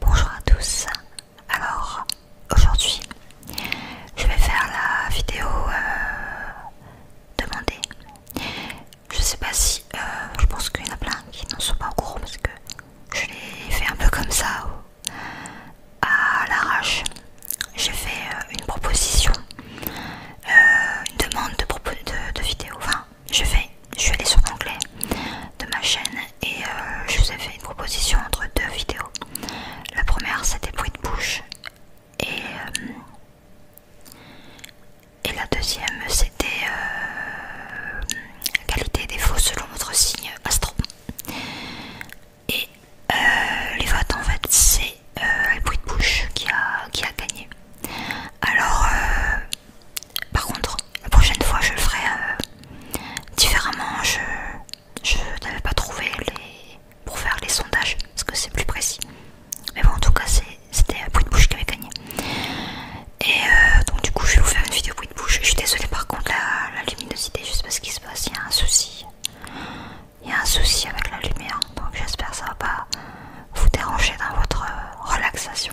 Bonjour à tous, alors aujourd'hui je vais faire la vidéo euh, demandée. Je sais pas si, euh, je pense qu'il y en a plein qui n'en sont pas au parce que je l'ai fait un peu comme ça, à l'arrache. J'ai fait euh, une proposition, une demande de, de vidéo, enfin je vais, je suis allée sur l'onglet de ma chaîne et euh, je vous ai fait une proposition entre deux vidéos. La première c'était bruit de bouche euh, et, la deuxième c'était euh, qualité des défaut selon votre signe astro. Et les votes en fait c'est bruit de bouche qui a, qui a gagné. Alors par contre, la prochaine fois, je le ferai euh, différemment. Je, n'avais pas trouvé pour faire les sondages parce que c'est plus précis. Mais bon, en tout cas, c'était bruit de bouche qui avait gagné. Et euh, donc, du coup, je vais vous faire une vidéo bruit de bouche. Je suis désolée par contre, la, luminosité, juste parce qu'il ce se passe. Il y a un souci. Il y a un souci avec la lumière. Donc, j'espère que ça va pas vous déranger dans votre euh, relaxation.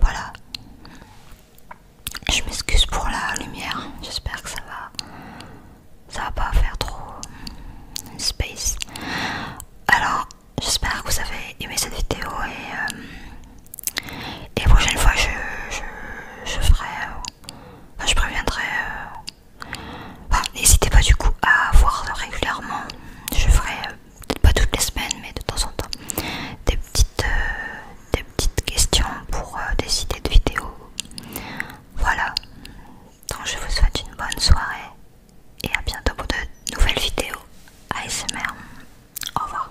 Voilà. Je m'excuse pour la lumière. J'espère que ça va. Ça va pas faire trop space. Alors, j'espère que vous avez aimé cette vidéo et, euh, et prochaine fois je, je ferai ah, je préviendrai. Euh, n'hésitez pas du coup à voir régulièrement. Je ferai euh, peut-être pas toutes les semaines, mais de temps en temps des petites, euh, des petites questions pour des idées de vidéos. Voilà. Donc je vous souhaite une bonne soirée et à bientôt pour de nouvelles vidéos ASMR. Au revoir.